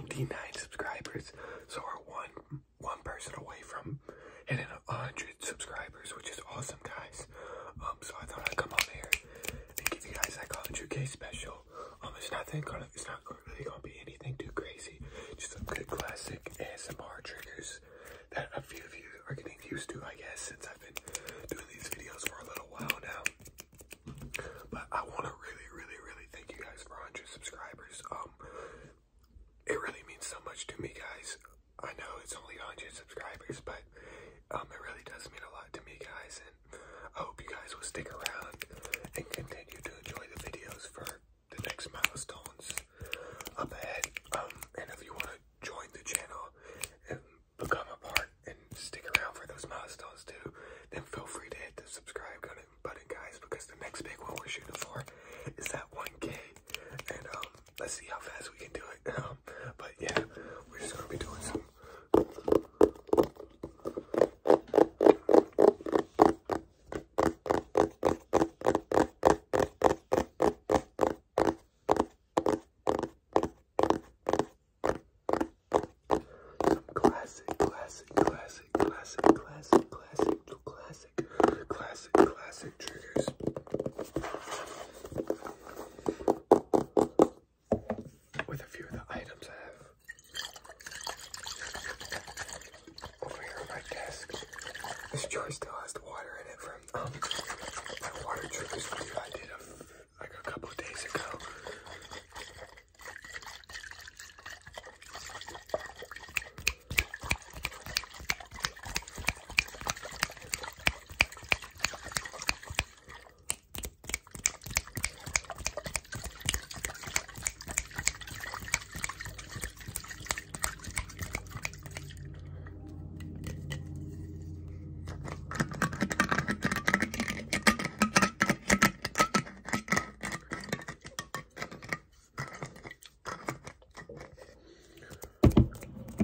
99 subscribers, so we're one one person away from hitting 100 subscribers, which is awesome, guys. Um, so I thought I'd come on here and give you guys like a 100k special. Um, it's nothing gonna, it's not really gonna be anything too crazy. Just some good classic ASMR triggers that a few of you are getting used to, I guess, since I've been doing these videos for a little while now. But I want to really, really, really thank you guys for 100 subscribers. Um, it really means so much to me, guys. I know it's only 100 subscribers, but um, it really does mean a lot to me, guys. And I hope you guys will stick around and continue to enjoy the videos for the next milestones up ahead. Um, and if you want to join the channel and become a part and stick around for those milestones too, then feel free to hit the subscribe button, guys, because the next big one we're shooting for is that 1K. And um, let's see how fast we can do it. Um, but yeah, we're just gonna be doing some. Some classic, classic, classic, classic, classic, classic, classic, classic, classic triggers. With a few of the items I have over here on my desk. This jar still has the water in it from um, my water triggers video I did of like a couple days ago.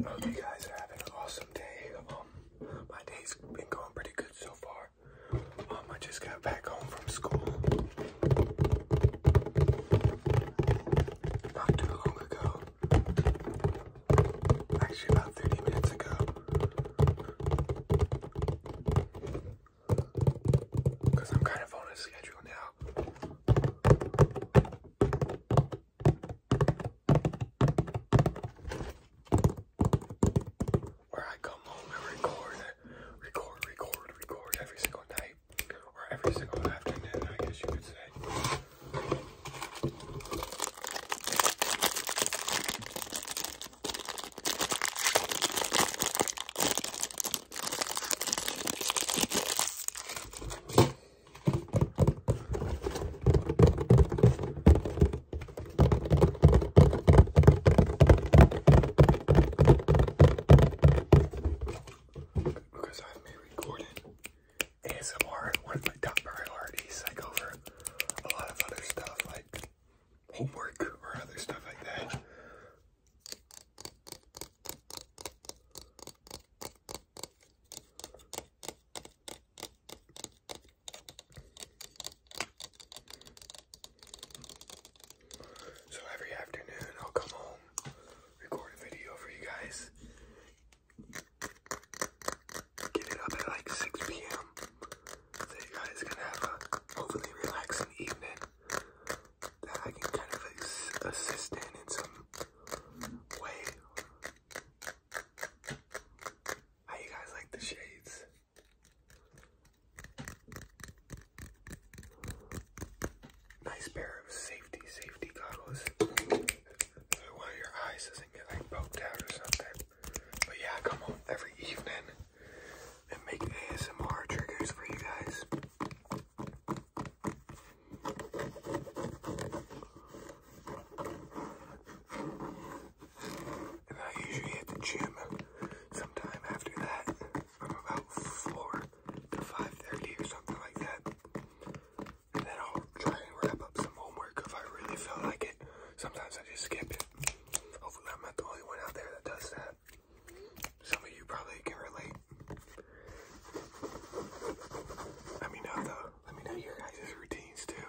Hope you guys are having an awesome day. Um, my day's been going pretty good so far. Um, I just got back home from school not too long ago. Actually, about 30 minutes ago. Because I'm kind of on a schedule now. Where I come home and record, record, record, record every single night. Or every single afternoon, I guess you could say. Because I've recording ASMR one of my top priorities. I go over a lot of other stuff like homework or other stuff like that. So every afternoon I'll come home, record a video for you guys, Getting up at like 6 p.m. So you guys can have a hopefully relaxing evening that I can kind of assist in in some way. How you guys like the shades? nice pair of safety safety goggles. So one of your eyes doesn't get like poked out or something. But yeah, come home every evening and make ASMR triggers for you guys. And I usually hit the gym sometime after that from about 4 to 5.30 or something like that. And then I'll try and wrap up some homework if I really feel like it. Sometimes I just skip it. Hopefully I'm not the only one out there that does that. Some of you probably can relate. Let me know though. Let me know your guys' routines too.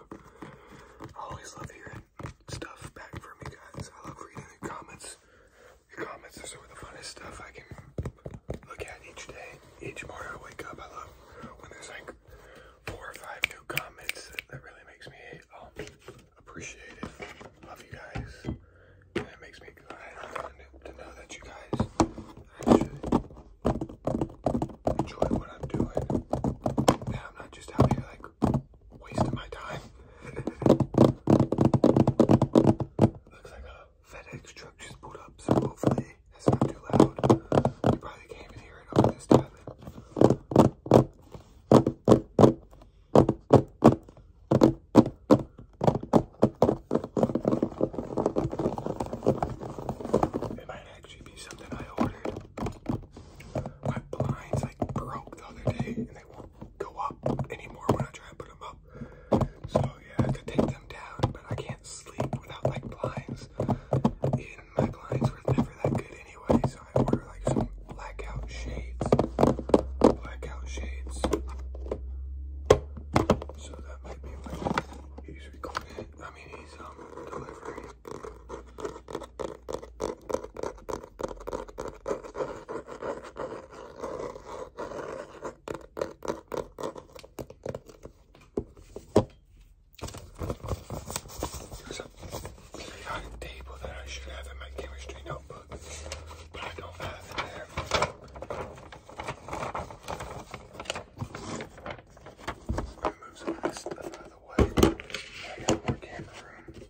I always love hearing stuff back from you guys. I love reading the comments comments are some of the funnest stuff I can look at each day. Each morning I wake up, I love when there's like four or five new comments. That really makes me um, appreciate it. Love you guys. And it makes me glad to know that you guys actually enjoy what I'm doing. And I'm not just out here like wasting my time. Looks like a FedEx truck just pulled up, so hopefully it's not too loud. You probably can't even hear it this time. It might actually be something I ordered. My blinds like broke the other day and they won't go up anymore when I try to put them up. So yeah, I have to take them down, but I can't sleep without like blinds. And my blinds were never that good anyway, so I order like some blackout shades. Blackout shades. So that might be like he's recording. I mean he's um delivering. There's a periodic table that I should have in my chemistry notebook, but I don't have it there. i some of this stuff out of the way. I got more camera room.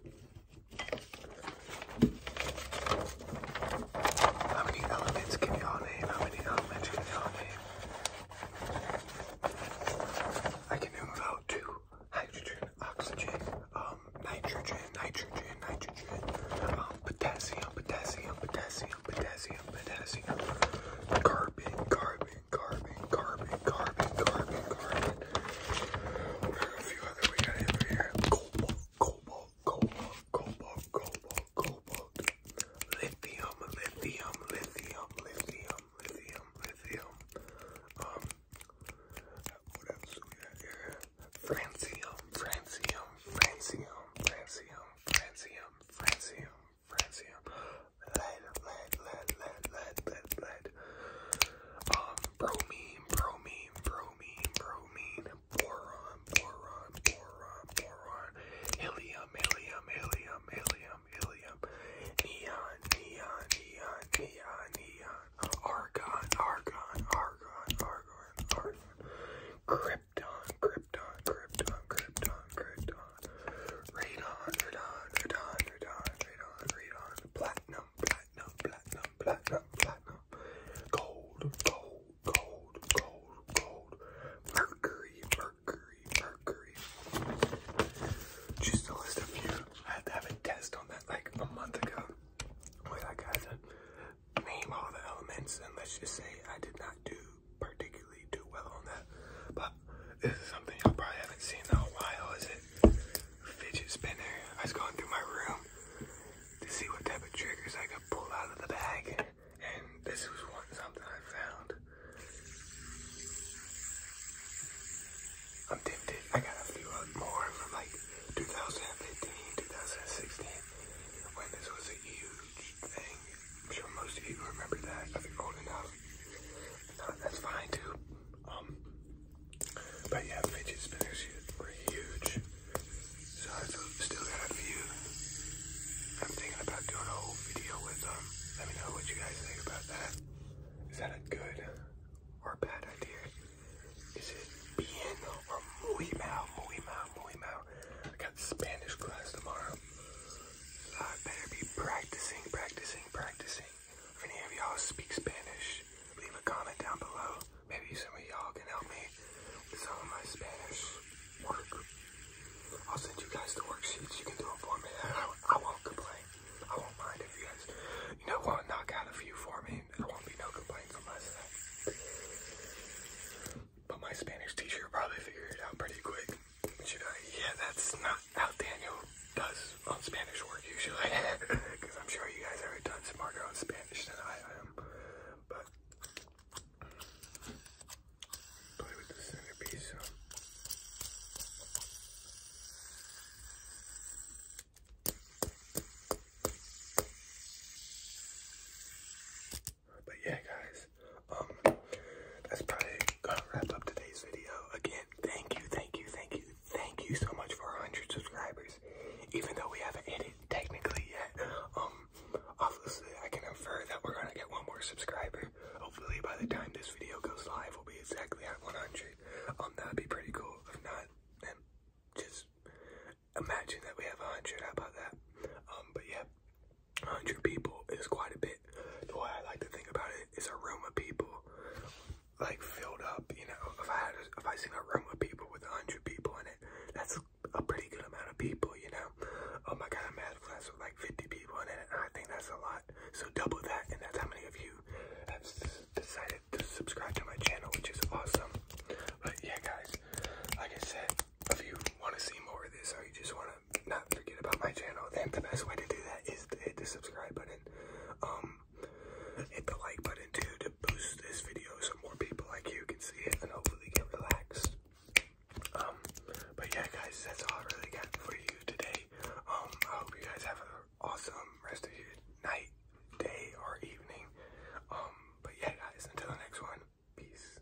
How many elements can y'all name? How many elements can y'all name? I can name about two. Hydrogen, oxygen, um, nitrogen, nitrogen, nitrogen, um, potassium, potassium, potassium, potassium, potassium, carbon, carbon, carbon, carbon, carbon, carbon, carbon further we got him here. Cobalt, cobalt, cobalt, cobalt, cobalt, cobalt. Lithium, lithium, lithium, lithium, lithium, lithium. Um, what else we got here? Francium, francium, francium, francium, francium, francium, francium. Lead, lead, lead, lead, lead, lead, lead, that. Um, bromine, bromine, bromine, bromine, boron, boron, boron, boron, helium, helium, helium, helium, helium, neon, neon, neon, neon, neon, argon, argon, argon, argon, argon, krypton, krypton, krypton, krypton, krypton, radon, radon, radon, radon, radon, radon, platinum, platinum, platinum, platinum, platinum, platinum, gold, gold, gold, gold, gold, mercury, mercury, mercury. Just a list of you. I had to have a test on that like a month ago. Wait, I got to name all the elements, and let's just say I did not do particularly do well on that. But this is something y'all probably haven't seen in a while, is it? fidget spinner. I was going through my room to see what type of triggers I could pull out of the bag, and this was one something I found. I'm tempted. I got a few more from like 2015, 2016, when this was a huge thing. I'm sure most of you remember that if you're old enough. Uh, that's fine too. Um, but yeah, fidget spinners were huge. So i still got a few. I'm thinking about doing a whole video with them. Let me know what you guys think about that. Is that a good or bad idea? Is it bien or muy mal, muy mal, muy mal? I got Spanish class tomorrow. So I better be practicing, practicing, practicing. If any of y'all speak Spanish, leave a comment down below. Maybe some of y'all can help me with some of my Spanish work. I'll send you guys the worksheets. You can do it for me. I, won't complain. I won't mind if you guys, you know, want to knock out a few for me. There won't be no complaints from my side. But my Spanish teacher probably figured it out pretty quick. Yeah, that's not how Daniel does on Spanish work usually. Because I'm sure you guys are a smarter on Spanish than I am. But play with the centerpiece. but yeah, guys, um, that's probably gonna wrap up today's video. Again, thank you, thank you, thank you, thank you so much for 100 subscribers. Even though we haven't hit it technically yet, um, obviously I can infer that we're gonna get one more subscriber. Hopefully by the time this video goes live, we'll be exactly at 100. Um, that'd be pretty cool. If not, then just imagine that we have 100. about that? Um, but yeah, 100 people is quite a bit. The way I like to think about it is a room of people, like filled up. You know, if I had, a, if I seen a room of people with 100 people in it, that's a pretty good amount of people. You know, oh my God, I am a math class with like 50 people in it, I think that's a lot. So double that, and that's how many of you have decided to subscribe to my channel, which is awesome. But yeah, guys, like I said, if you want to see more of this or you just want to not forget about my channel, then the best way to do that is to hit the subscribe button. Um, hit the like button too to boost this video so more people like you can see it and hopefully get relaxed. Um, but yeah, guys, that's all I really got for you today. Um, I hope you guys have an awesome rest of your night, day, or evening. Um, but yeah, guys, until the next one, peace.